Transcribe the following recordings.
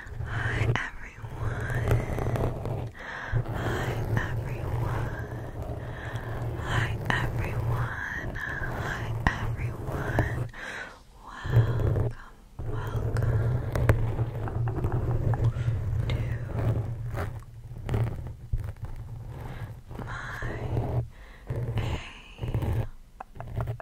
Hi everyone. Hi everyone. Hi everyone. Hi everyone. Welcome, welcome to my A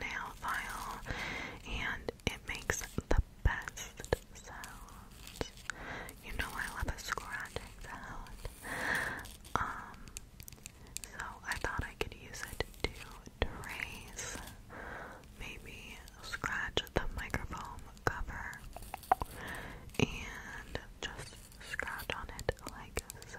nail file and it makes the best sound. You know I love a scratching sound. Um so I thought I could use it to trace maybe scratch the microphone cover and just scratch on it like so.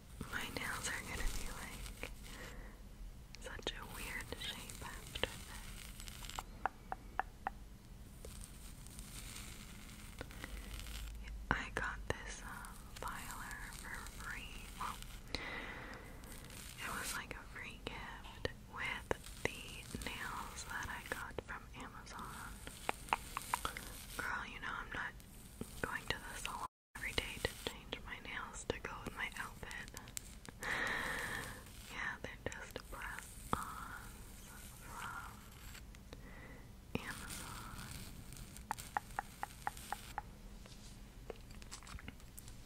my nails are gonna be like such a weird shape after this. I got this uh, for free. it was like a free gift with the nails that I got from Amazon. Girl, you know I'm not going to the salon every day to change my nails to go with my outfit. yeah, they just press-ons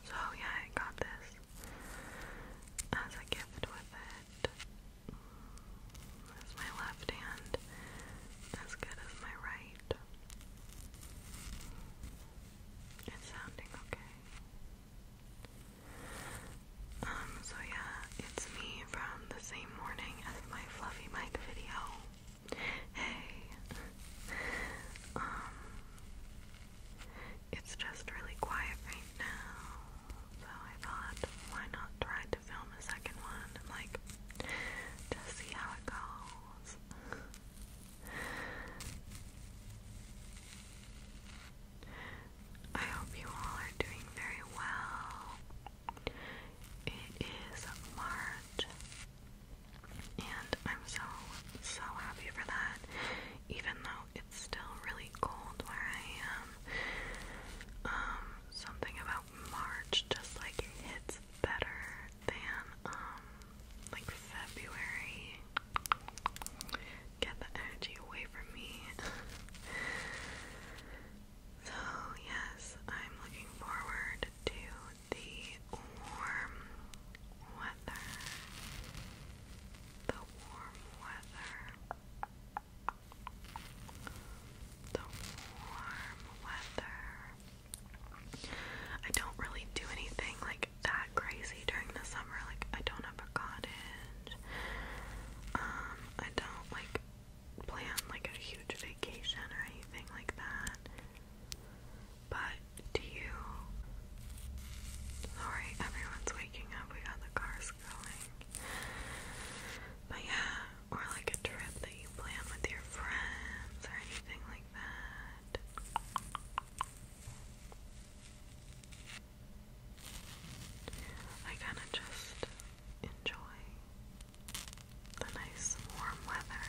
So yeah, I got this as a gift with it. Mm, There's my left hand as good as my right. It's sounding okay. Um, so yeah, it's me from the same morning as my Fluffy Mike video. Hey! um, it's just really quiet right now, so I thought, why not try to film a second one like, just see how it goes fools. I hope you all are doing very well. It is March, and I'm so, so happy for that, even though it's still really cold where I am. Um, something about March just like it hits better than um like February. Get the energy away from me. so yes, I'm looking forward to the warm weather. The warm weather. The warm weather. I don't really do anything like that crazy during the summer. Like I don't have a cottage. Um, I don't like plan like a huge vacation or anything like that. But do you? Sorry, everyone's waking up. We got the cars going. But yeah, or like a trip that you plan with your friends or anything like that. I kind of just enjoy the nice warm weather.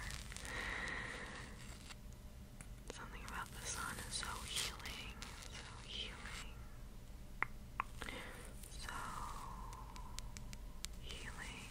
Something about the sun is so healing, so healing. So healing.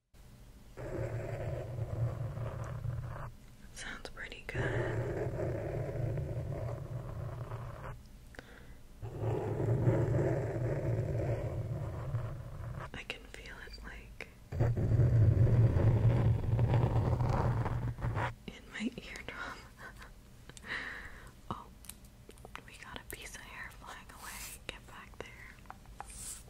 Sounds pretty good. I can feel it like in my eardrum. oh, we got a piece of hair flying away. Get back there.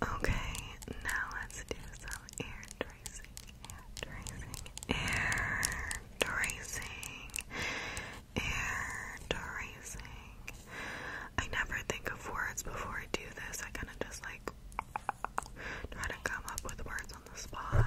Okay, now let's do some ear tracing air tracing, air tracing. I never think of words before I do this. I kind of just like try to come up with words on the spot.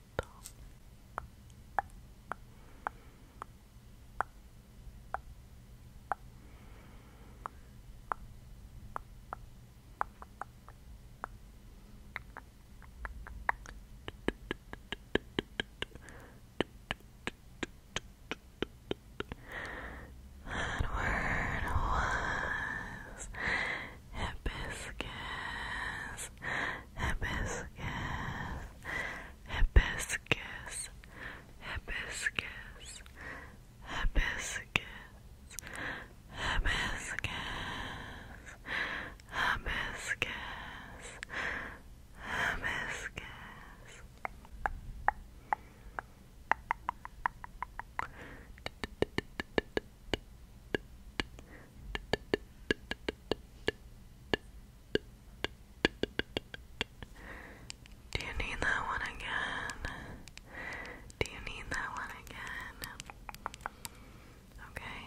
that word was hibiscus, hibiscus, hibiscus, hibiscus, hibiscus, hibiscus, hibiscus, hibiscus. Hibiscus, do you need that one again? Do you need that one again? Okay.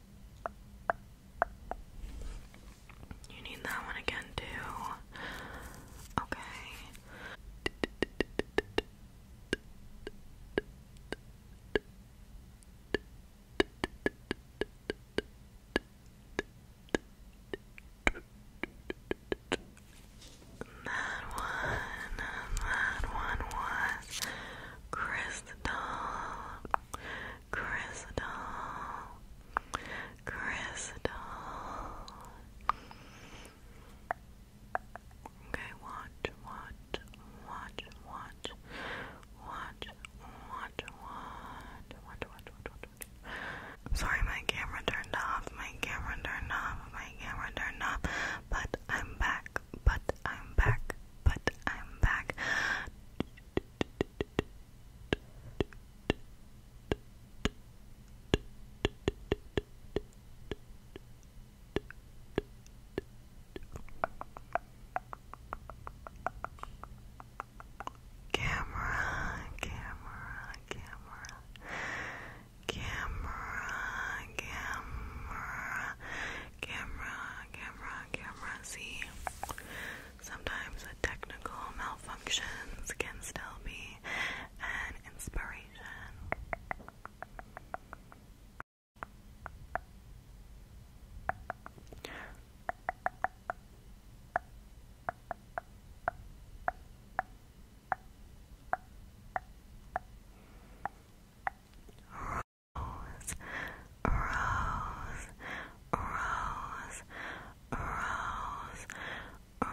You need that one again, too. Okay. That one, that one was Chris crystal, crystal, crystal. Okay, watch, watch, watch, watch, watch, watch, watch, watch, watch, watch, Sorry, my camera turned off. My camera turned off. My camera turned off. But I'm back back, but I'm back, but I'm back. Camera, camera, camera, camera, camera, camera, camera, camera. See, sometimes the technical malfunction can still be an inspiration rose, rose, rose, rose, rose. Rose,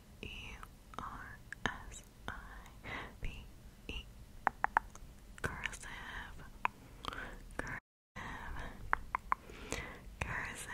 C-U-R-S-I-V-E Cursive Cursive Cursive Cursive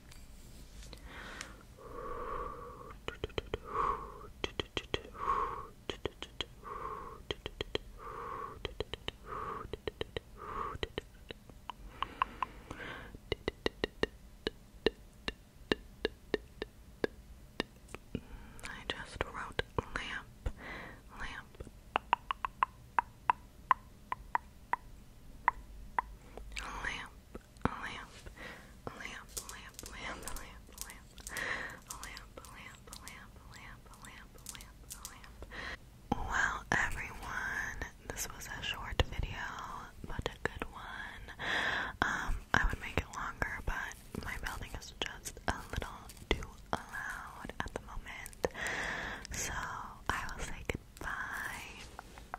I just wrote lamp, lamp. Lamp, lamp, lamp, lamp, lamp, lamp, lamp, lamp, lamp, lamp, lamp, lamp, lamp, lamp. Well, everyone, this was a short video, but a good one. Um, I would make it longer, but my building is just a little too loud at the moment. So I will say goodbye.